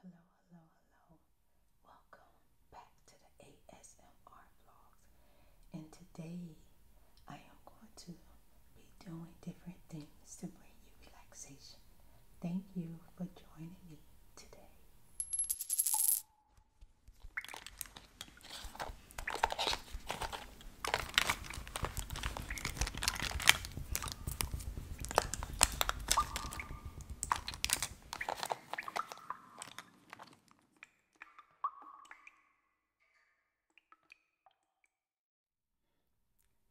Hello, hello, hello, hello. Welcome back to the ASMR vlogs. And today I am going to be doing different things to bring you relaxation. Thank you for joining me today.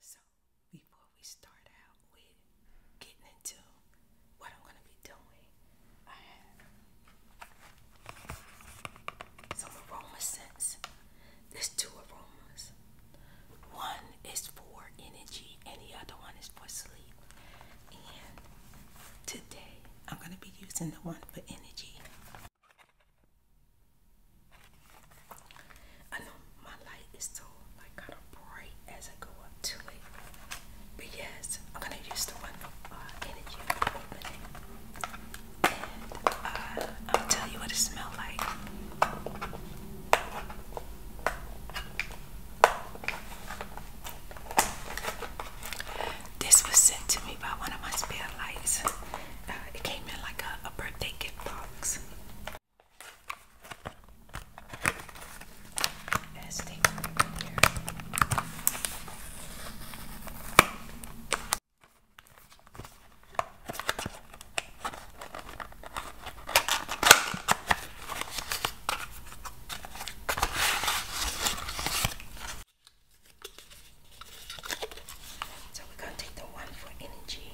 So, before we start out with getting into what I'm going to be doing, I have some aroma scents. There's two aromas. One is for energy and the other one is for sleep. And today I'm going to be using the one for energy. I know my light is so like kind of bright as I go up to it. But I'm gonna use the one for uh, energy opening. And uh, I'll tell you what it smells like. This was sent to me by one of my spare lights. Uh, it came in like a, birthday gift box. So we're going to take the one for energy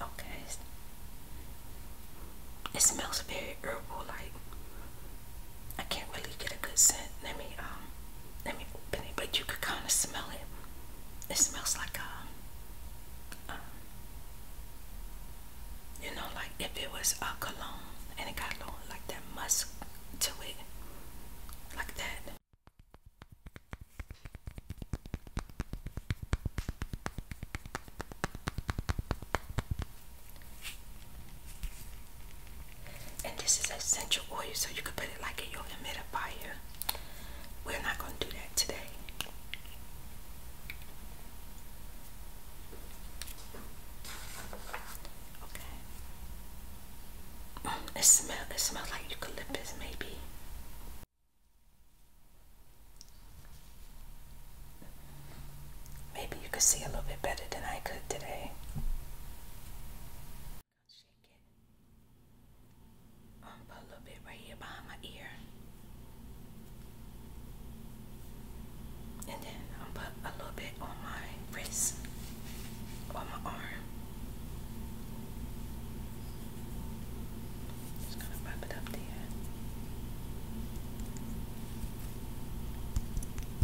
Okay. It smells very herbal like I can't really get a good scent. Let me um let me open it, but you could kind of smell it. It smells like a, uh, um, you know, like if it was a cologne and it got a little like that musk to it, like that. And this is essential oil, so you could put it like in your humidifier. We're not going to do that today. Okay. It smells it smell like eucalyptus, maybe. Maybe you could see a little bit better than I could today. I'm gonna Shake it. I'm gonna put a little bit right here behind my ear. And then I'm gonna put a little bit on my wrist, on my arm. Just gonna rub it up there.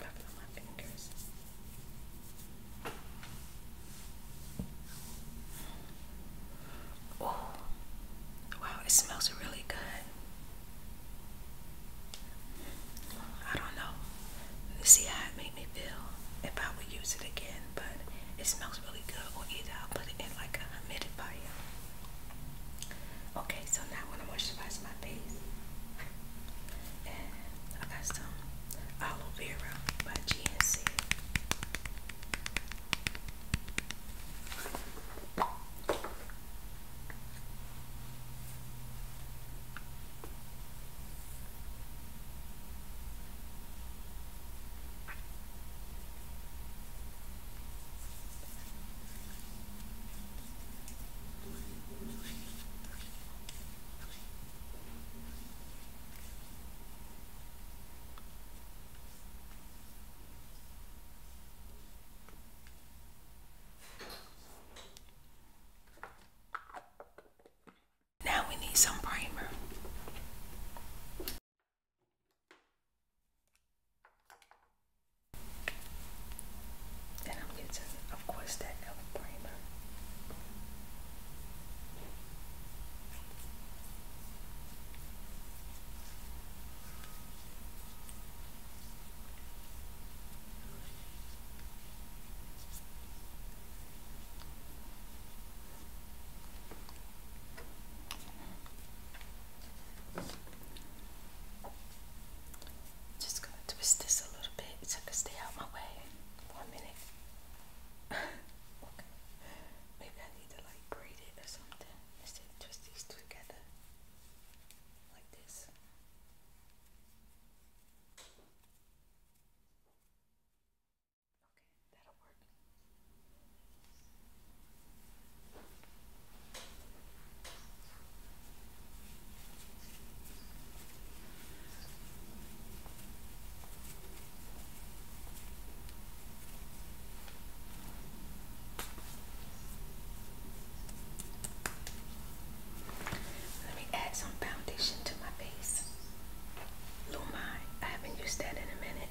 Rubbing my fingers. Oh, wow, it smells really good. I don't know. See how it made me feel if I would use it again, but it smells really good. Or either I'll put it in like a humidifier. Okay, so now I'm gonna moisturize my face. And I got some Aloe Vera by GNC. Now we need some primer. And I'm using, of course, that elf primer. Just gonna twist this a little bit so it can stay out my way. One minute okay. Maybe I need to like braid it or something. Instead twist these together. Like this. Okay, that'll work. Let me add some foundation to my face. Lumai, I haven't used that in a minute.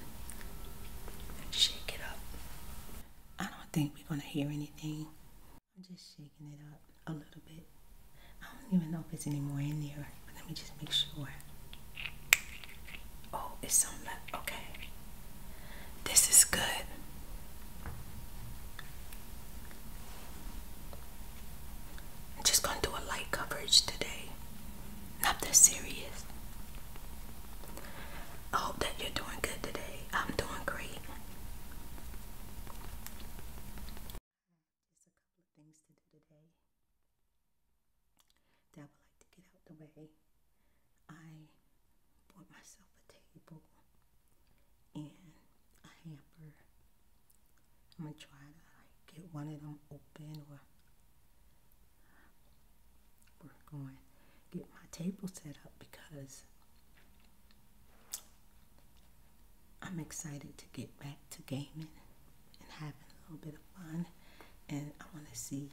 Shake it up. I don't think we're gonna hear anything. I'm just shaking it up a little bit. I don't even know if it's any more in there, but let me just make sure. Oh, it's some left. Okay. This is good. I'm just gonna do a light coverage today. Not that serious. I hope that you're doing good today. I'm doing great. Just a couple of things to do today that I would like to get out the way. I bought myself a table and a hamper. I'm gonna try to get one of them open or work on get my table set up because I'm excited to get back to gaming and having a little bit of fun. And I want to see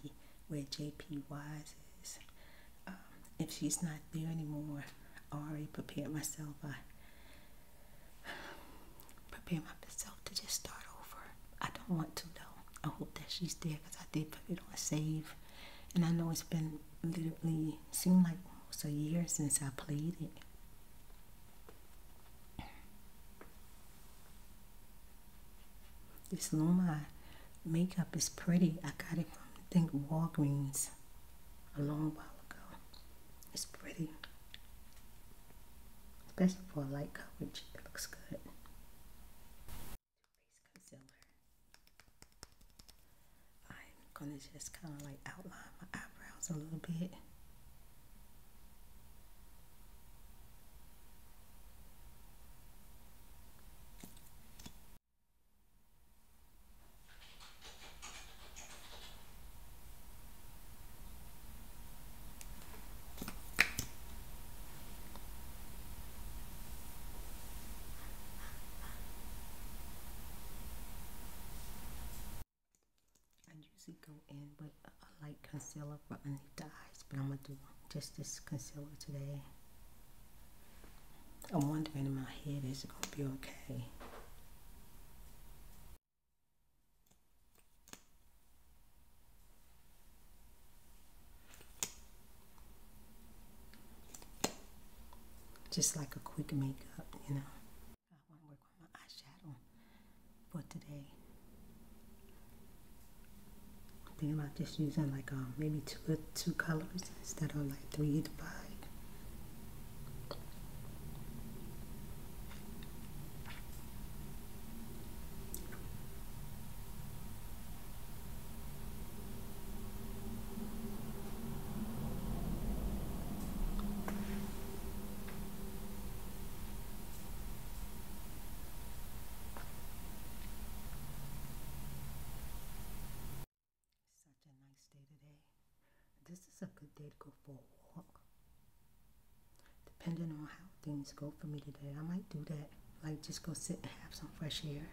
where JP Wise is. Um, if she's not there anymore, I already prepared myself. I prepare myself to just start over. I don't want to know. I hope that she's there because I did put it on save. And I know it's been literally seemed like almost a year since I played it. This Lumai makeup is pretty. I got it from, think, Walgreens a long while ago. It's pretty. Especially for light coverage, it looks good gonna just kind of like outline my eyebrows a little bit. I usually go in with a light concealer for underneath the eyes, but I'm gonna do just this concealer today. I'm wondering if my hair is gonna be okay? Just like a quick makeup, you know. I want to work on my eyeshadow for today. am thinking about just using like um, maybe two, uh, two colors instead of like three to five. Such a nice day today. This is a good day to go for a walk. Depending on how things go for me today, I might do that. Like just go sit and have some fresh air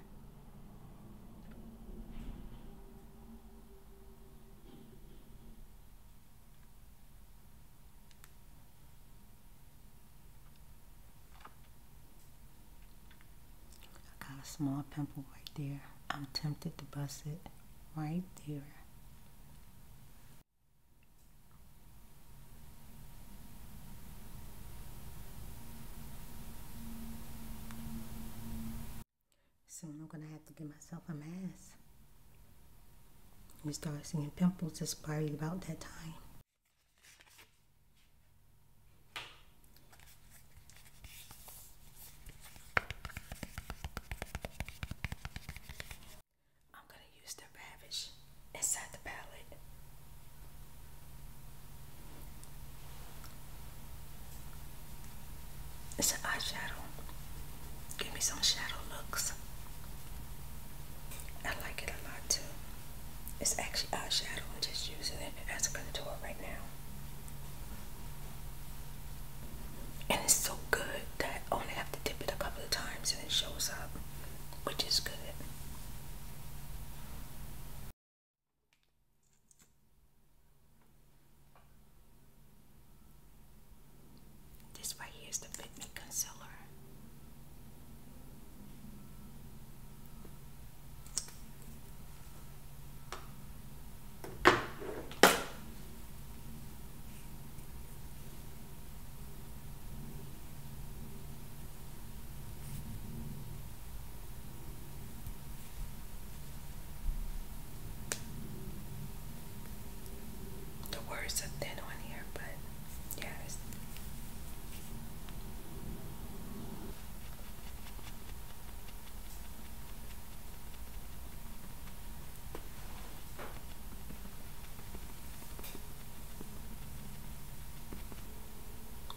got a small pimple right there. I'm tempted to bust it right there. Soon I'm gonna have to get myself a mask. You start seeing pimples, it's probably about that time. I'm gonna use the Ravish inside the palette. It's an eyeshadow. Give me some shadow looks. I like it a lot too. It's actually eyeshadow. I'm just using it as a contour right now. And it's so good that I only have to dip it a couple of times and it shows up, which is good. This right here is the Fit Me Concealer. The words are thin on here, but yes.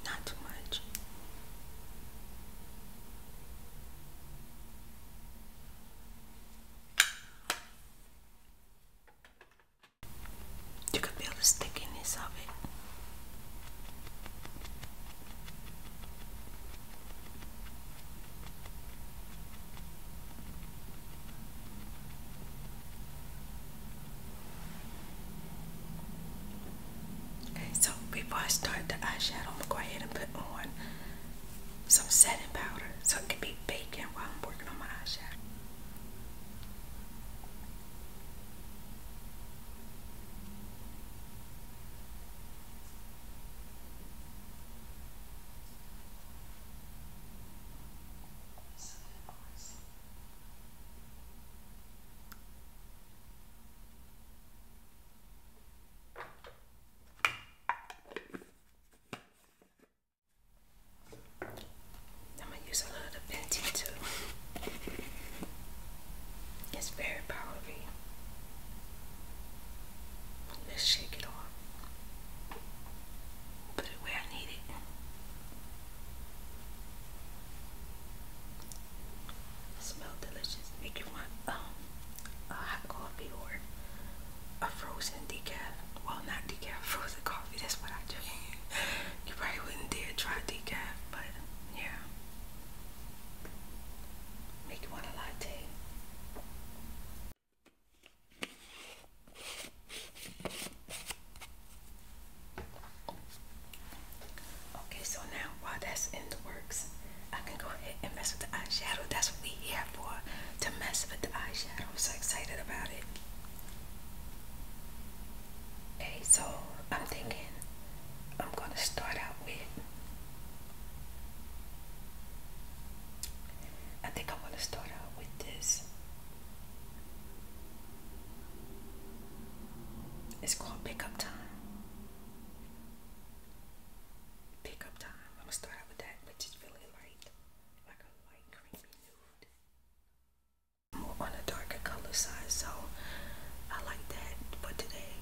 Not too much. You can feel the stickiness of it. Okay, so before I start the eyeshadow, I'm gonna go ahead and put on some setting powder so it can be baking while I'm working on my eyeshadow. I'm gonna use a little Fenty too. It's very powdery. Let's shake it off. Put it where I need it. Smell delicious. Make you want um, a hot coffee or a frozen decaf. Well, not decaf, frozen coffee. That's what I drink. you probably wouldn't dare try decaf, but yeah. Make you want a latte. Okay, so now while that's in the works, I can go ahead and mess with the eyeshadow. That's what we here for, to mess with the eyeshadow. I'm so excited about it. Okay, so I'm thinking I'm gonna start out with. I think I want to start out with this. It's called pickup time. Pickup time. I'm gonna start out with that, which is really more on the darker color side, so I like that for today.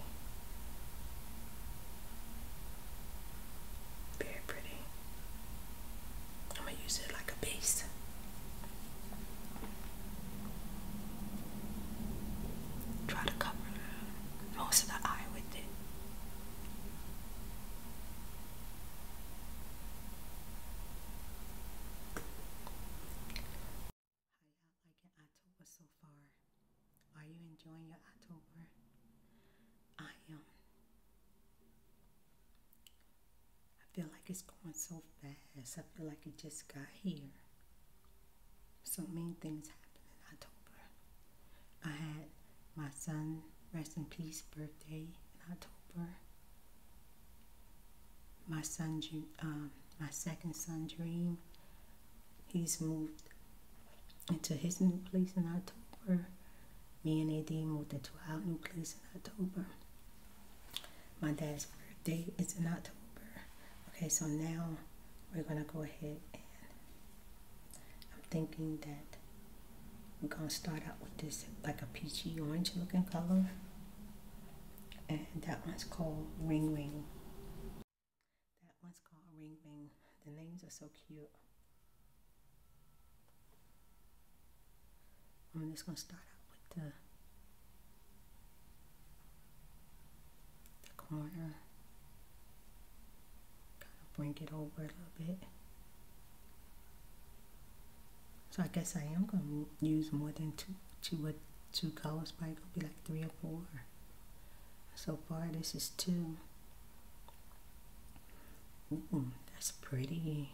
Very pretty. I'm gonna use it like a base. Try to cover most of the eye with it. How y'all October so far? Are you enjoying your October? I am. I feel like it's going so fast. I feel like it just got here. So many things happen. October. I had my son, rest in peace, birthday in October. My son, um, my second son, Dream, he's moved into his new place in October. Me and AD moved into our new place in October. My dad's birthday is in October. Okay, so now we're gonna go ahead and I'm thinking that we're going to start out with this like a peachy orange looking color. And that one's called Ring Ring. That one's called Ring Ring. The names are so cute. I'm just going to start out with the, the corner kind of bring it over a little bit. So I guess I am going to use more than two uh, colors, probably going to be like three or four. So far this is two. that's pretty.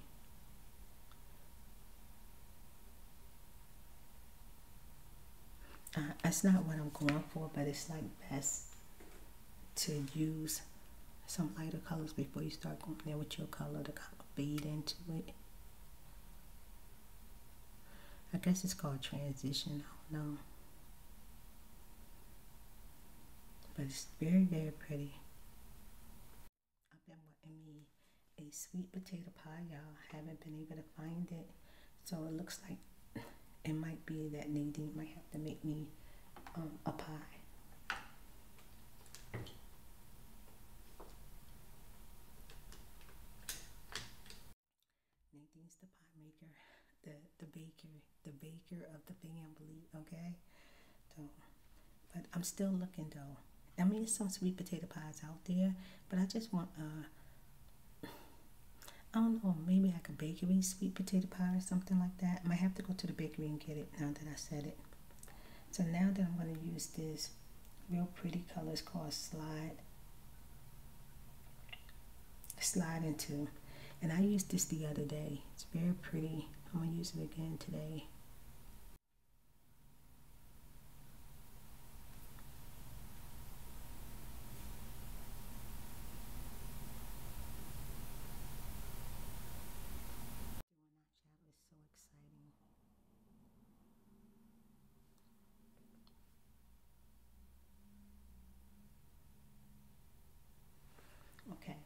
Uh, that's not what I'm going for, but it's like best to use some lighter colors before you start going there with your color to kind of fade into it. I guess it's called transitional, I do But it's very, very pretty. I've been wanting me a sweet potato pie, y'all. Haven't been able to find it. So it looks like it might be that Nadine might have to make me um, a pie. Nadine's the pie maker, the the baker, the baker of the family. Okay, so but I'm still looking though. I mean, there's some sweet potato pies out there, but I just want a. Uh, I don't know, maybe I could bake like a sweet potato pie or something like that. I might have to go to the bakery and get it now that I said it. So now that I'm going to use this real pretty color, it's called Slide. Slide into. And I used this the other day. It's very pretty. I'm going to use it again today. Okay.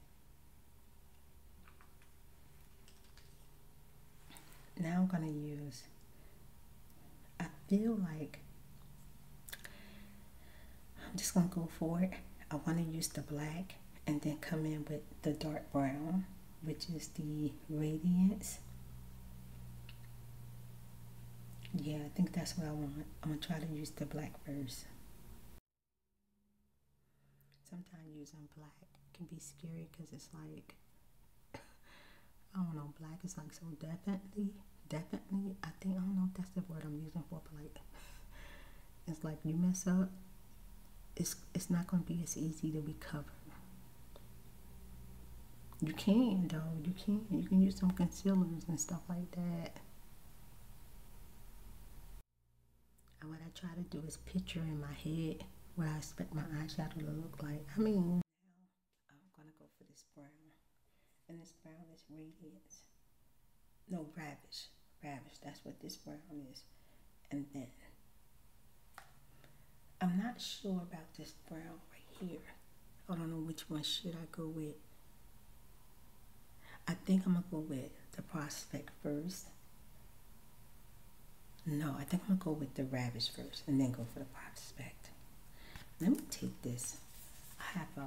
Now I'm going to use, I feel like I'm just going to go for it. I want to use the black and then come in with the dark brown, which is the Radiance. Yeah, I think that's what I want. I'm going to try to use the black first. Sometimes using black can be scary because it's like, I don't know, black is like so definitely, definitely, I think, I don't know if that's the word I'm using for, but it's like you mess up, it's it's not going to be as easy to recover. You can though. You can. You can use some concealers and stuff like that. And what I try to do is picture in my head what I expect my eyeshadow to look like. I mean, I'm gonna go for this brown and this brown is radiance. No, ravish. Ravish, that's what this brown is. And then, I'm not sure about this brown right here. I don't know which one should I go with. I think I'm going to go with the prospect first. No, I think I'm going to go with the ravish first and then go for the prospect. Let me take this. I have a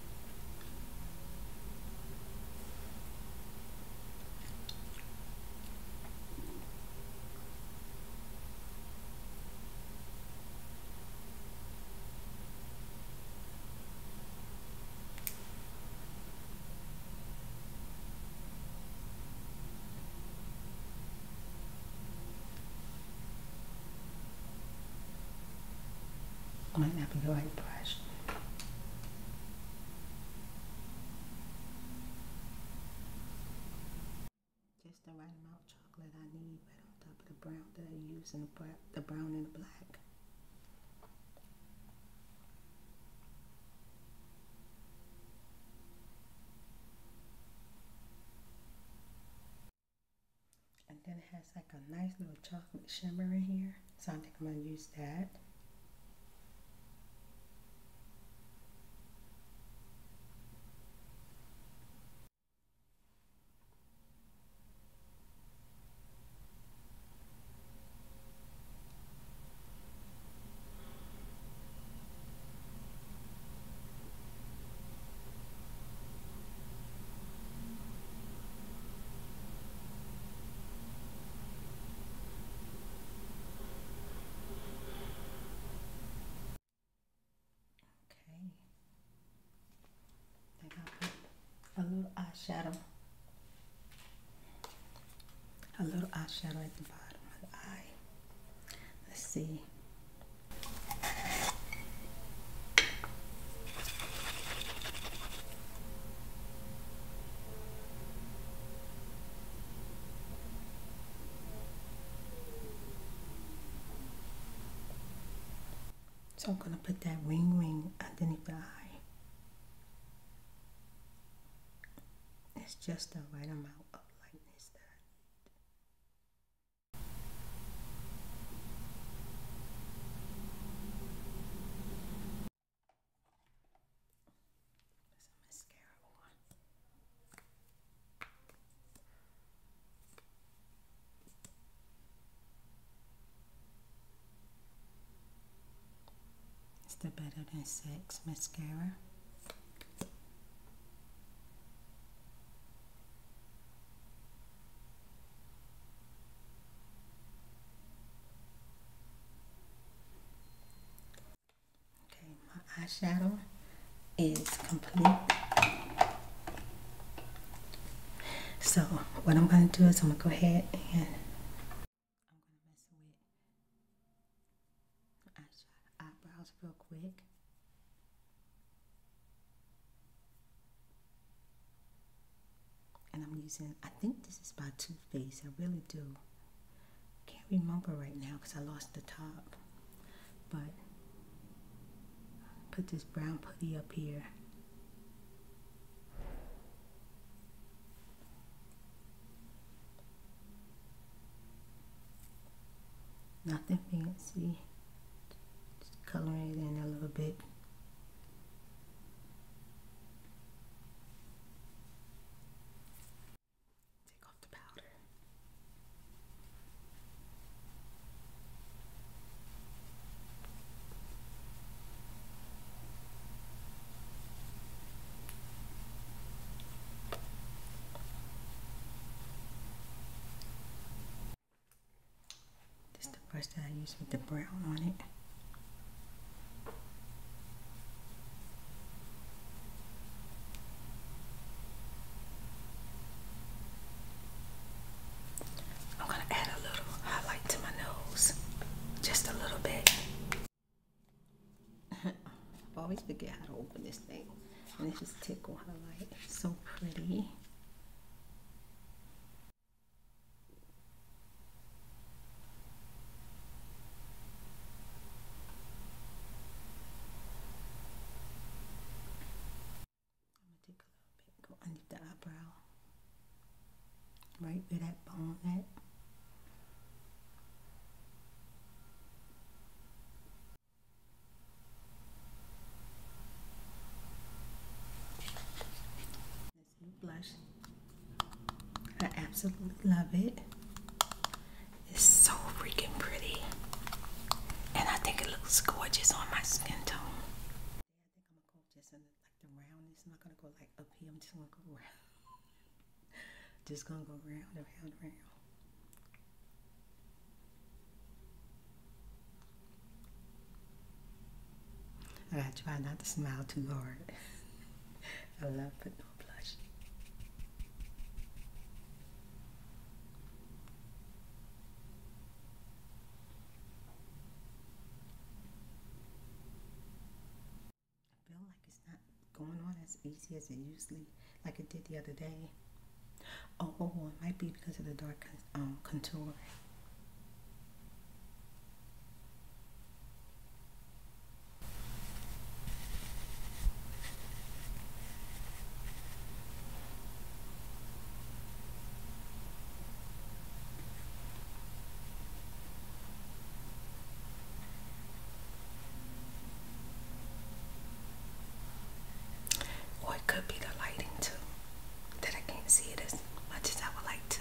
might not be the right brush. Just the right amount of chocolate I need right on top of the brown that I use in the brown and the black. And then it has like a nice little chocolate shimmer in here. So I think I'm going to use that. Okay. They got a little eyeshadow. A little eyeshadow at the bottom of the eye. Let's see. So I'm going to put that wing wing underneath the eye. It's just the right amount of lightness that there's a It's the Better Than Sex mascara. Okay, my eyeshadow is complete. So what I'm going to do is I'm going to go ahead and eyebrows real quick. And I'm using, I think this is by Too Faced. I really do. Can't remember right now because I lost the top. But put this brown putty up here. Nothing fancy. Just coloring it in a little bit. Take off the powder. First, I use the brown on it. I'm going to add a little highlight to my nose, just a little bit. I always forget how to open this thing, and it's just tickle highlight. It's so pretty. I'm gonna take a little bit, go the eyebrow, right where that bone at blush. I absolutely love it. It's so freaking pretty. And I think it looks gorgeous on my skin tone. just gonna go like and around. Just round, around, round. I try not to smile too hard. I love putting on blush. I feel like it's not going on as easy as it usually, like it did the other day. Oh, oh, oh it might be because of the dark um, contour. Or it could be the lighting too, that I can't see it as much as I would like to.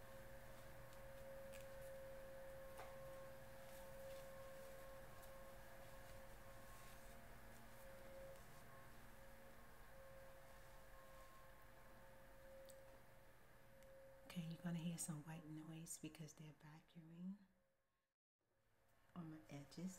Okay, you're gonna hear some white noise because they're vacuuming on the edges.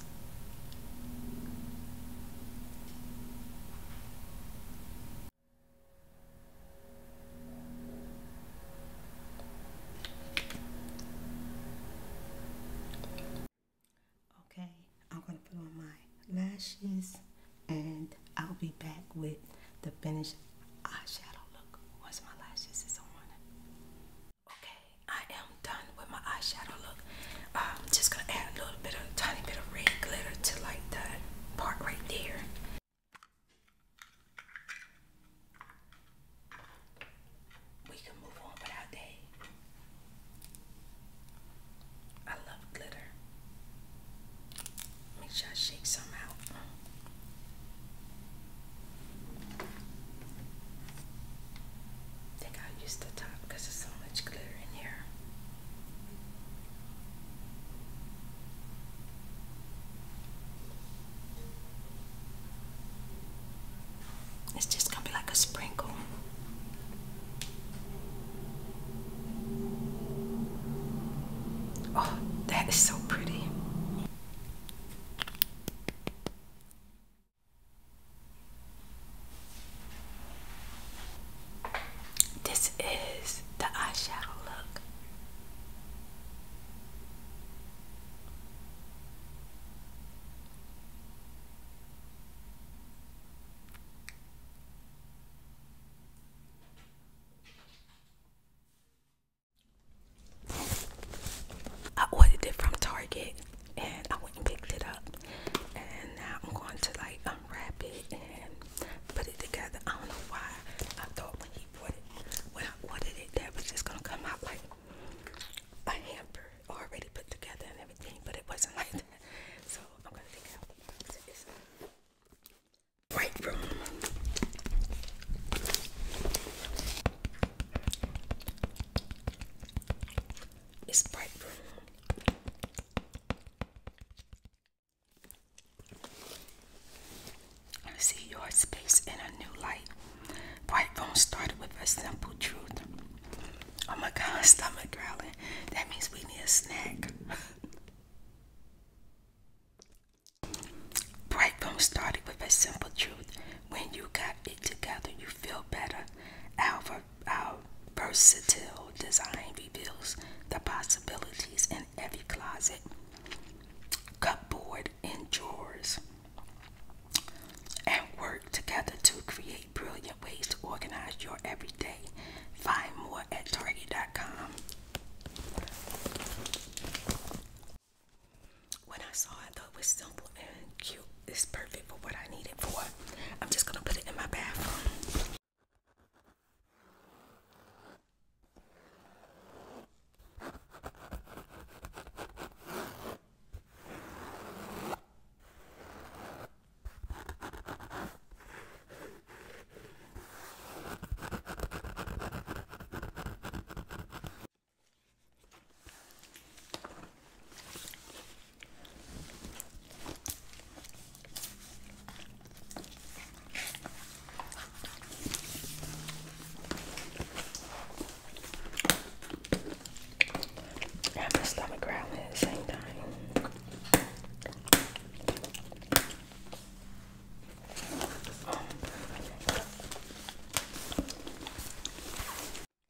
Okay, I'm going to put on my lashes and I'll be back with the finished eyeshadow look once my lashes is on. Okay, I am done with my eyeshadow look. I'm um, just gonna add a little bit of tiny bit of red glitter to like that part right there. We can move on with our day. I love glitter. Make sure I shake some out. I think I'll use the top because there's so much glitter in here. It's just gonna be like a sprinkle. Oh, that is so pretty. This is the eyeshadow look. I ordered it from Target and I went and picked it up and now I'm going to like unwrap it and put it together. I don't know why I thought when he bought it when I ordered it that was just gonna come out like a hamper already put together and everything but it wasn't like that. So I'm gonna take it out this bright room. It's bright room. I See your space in a new light. Bright Bone started with a simple truth. Oh my god, stomach growling. That means we need a snack. Bright started with a simple truth. When you got it together, you feel better. Alpha our versatile design reveals the possibilities in every closet, cupboard, and drawers, and work together to create brilliant ways to organize your everyday. Find more at Target.com. When I saw it, I thought it was simple and cute. It's perfect for what I need it for. I'm just gonna put it in my bathroom. I have my stomach growling at the same time.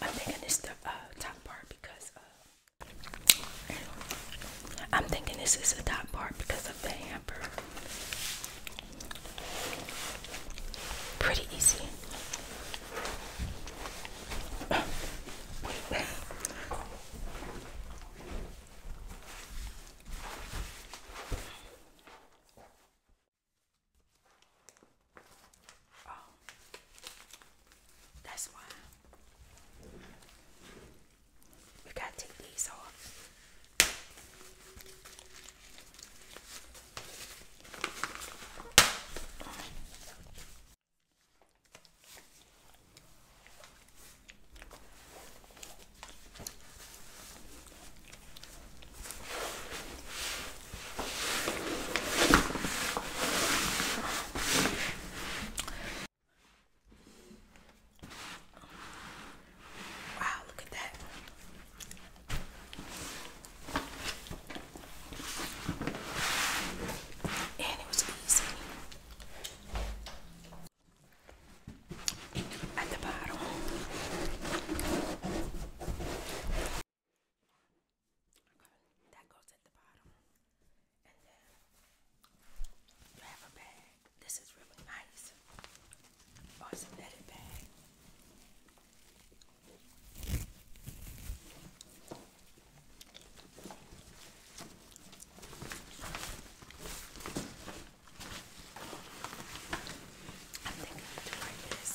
I'm thinking it's the uh, top part because uh, I'm thinking this is the top part because of the hamper. Pretty easy. Oh, that's why you gotta take these off. Wow, look at that. And it was easy. At the bottom. Okay, that goes at the bottom. And then you have a bag. This is really nice. Oh, a netted bag. I'm thinking of doing this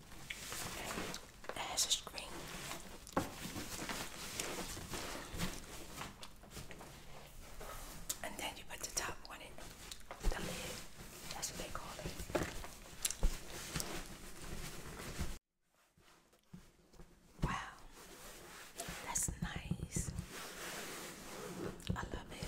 It a screen, And then you put the top on it, the lid. That's what they call it. Wow, that's nice. I love it.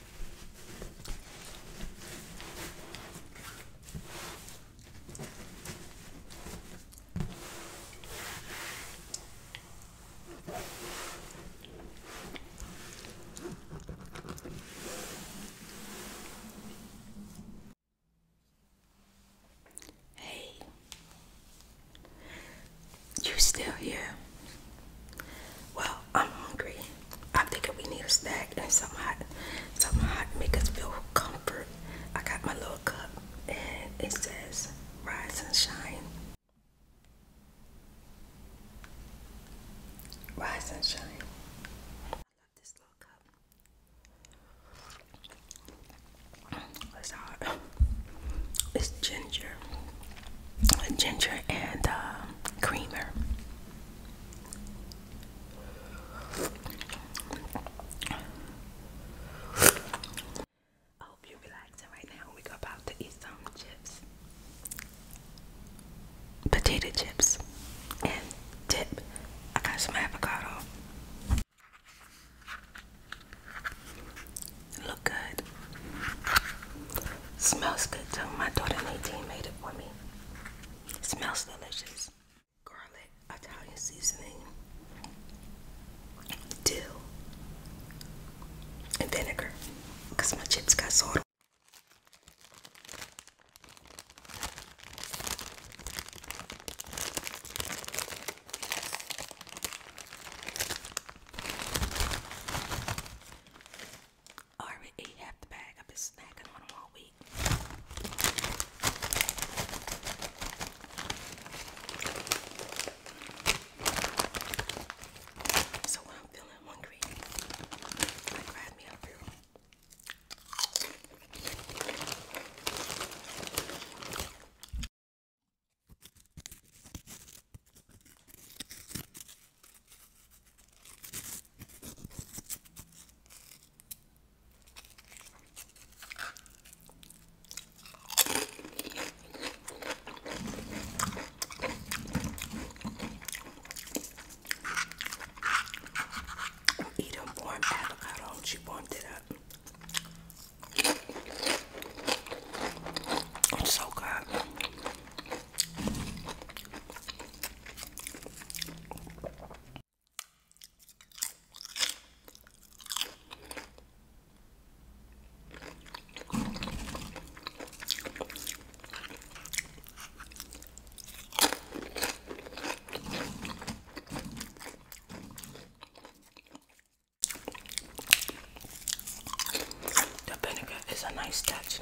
Hey, you still here? Well, I'm hungry. I think we need a snack and something hot, something hot to make us feel comfort. I got my little cup and it says Rise and Shine. Rise and Shine. I love this little cup. It's hot. It's ginger, ginger and uh, creamer. I hope you're relaxing right now. We're about to eat some chips, potato chips, and dip. I got some avocado. Look good. Smells good too. My daughter Nadine made it for me. Smells delicious. Garlic, Italian seasoning, dill, and vinegar. Because my chips got salt. I already ate half the bag. I've been snacking on them all week. So when I'm feeling hungry, I grab me a fruit. I a warm avocado, she warmed it up. It's so good. The vinegar is a nice touch.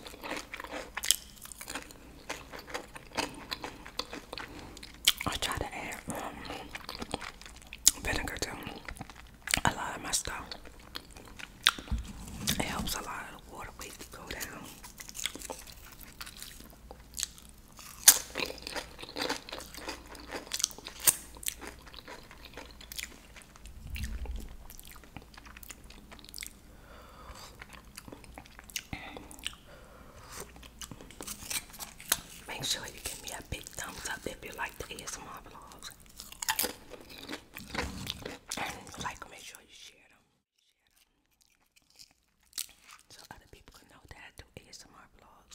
I try to add um, vinegar to a lot of my stuff. It helps a lot of the water weight to go down. Make sure you give me a big thumbs up if you like the ASMR vlogs. And like, make sure you share them. So other people can know that I do ASMR vlogs.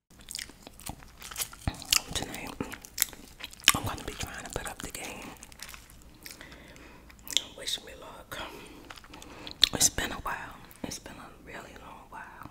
Tonight, I'm going to be trying to put up the game. Wish me luck. It's been a while. It's been a really long while.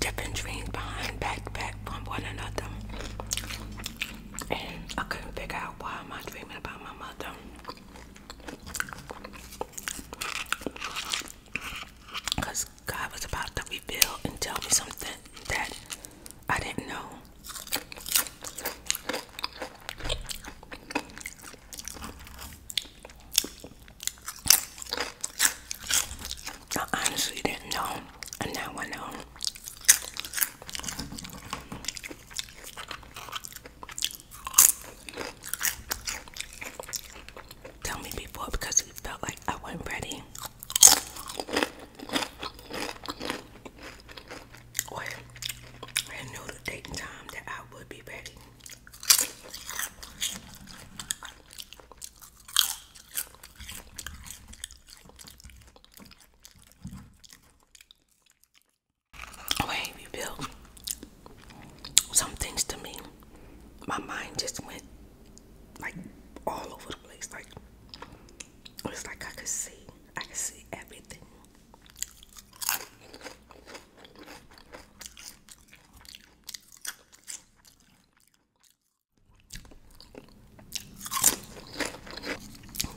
Different dreams behind backpack from one another, and I couldn't figure out why i am I dreaming about my mother. Because God was about to reveal and tell me something that I didn't know. I honestly didn't know, and now I know tell me before because he felt like I wasn't ready. Or I knew the date and time that I would be ready. Wait, rebuild some things to me, my mind just went like all over the place. Like it was like I could see, I could see everything.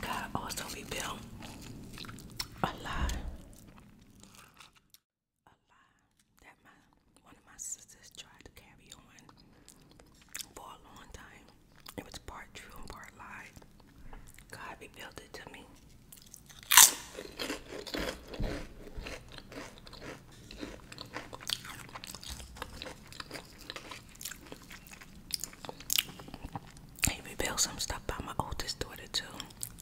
God also revealed a lot a lie that my one of my sisters tried to carry on for a long time. It was part true and part lie. God revealed it to me. He revealed some stuff about my oldest daughter too.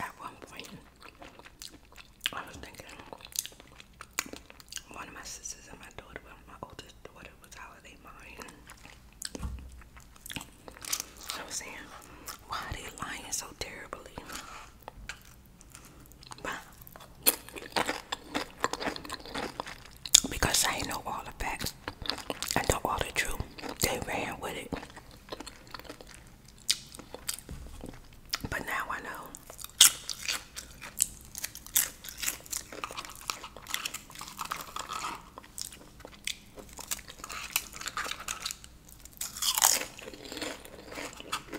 At one point, I was thinking one of my sisters and my daughter, my oldest daughter, was holiday mine. I was saying, why are they lying so terribly? Because I know all the facts. I know all the truth. They ran with it. But now I know.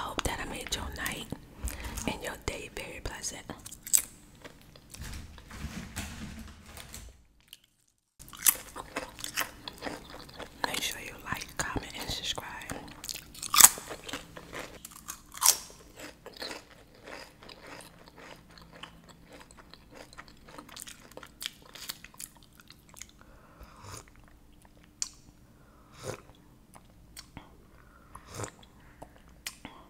hope that I made your night and your day very pleasant. Make sure you like, comment, and subscribe.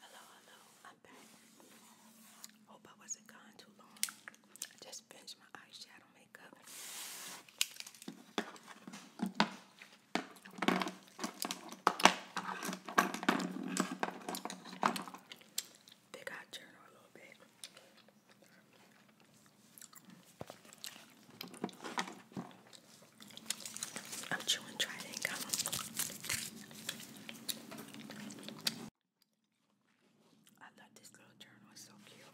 Hello, hello, I'm back. Hope I wasn't gone too long. I just finished my eyeshadow makeup. They got journal a little bit. I'm chewing dry and gum. I thought this little journal was so cute.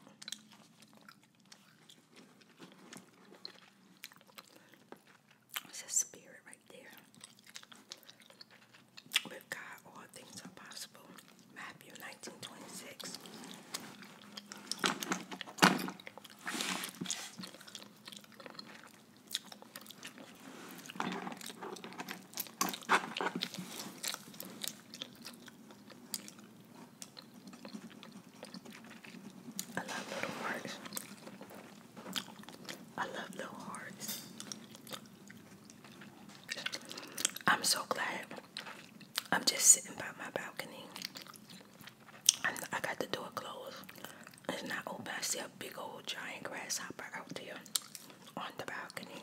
It's a spirit right there. With God, all things are possible. Matthew 19:26. I love little hearts. I love little hearts. I'm so glad I'm just sitting by my balcony. i I got the door closed. It's not open. I see a big old giant grasshopper out there on the balcony.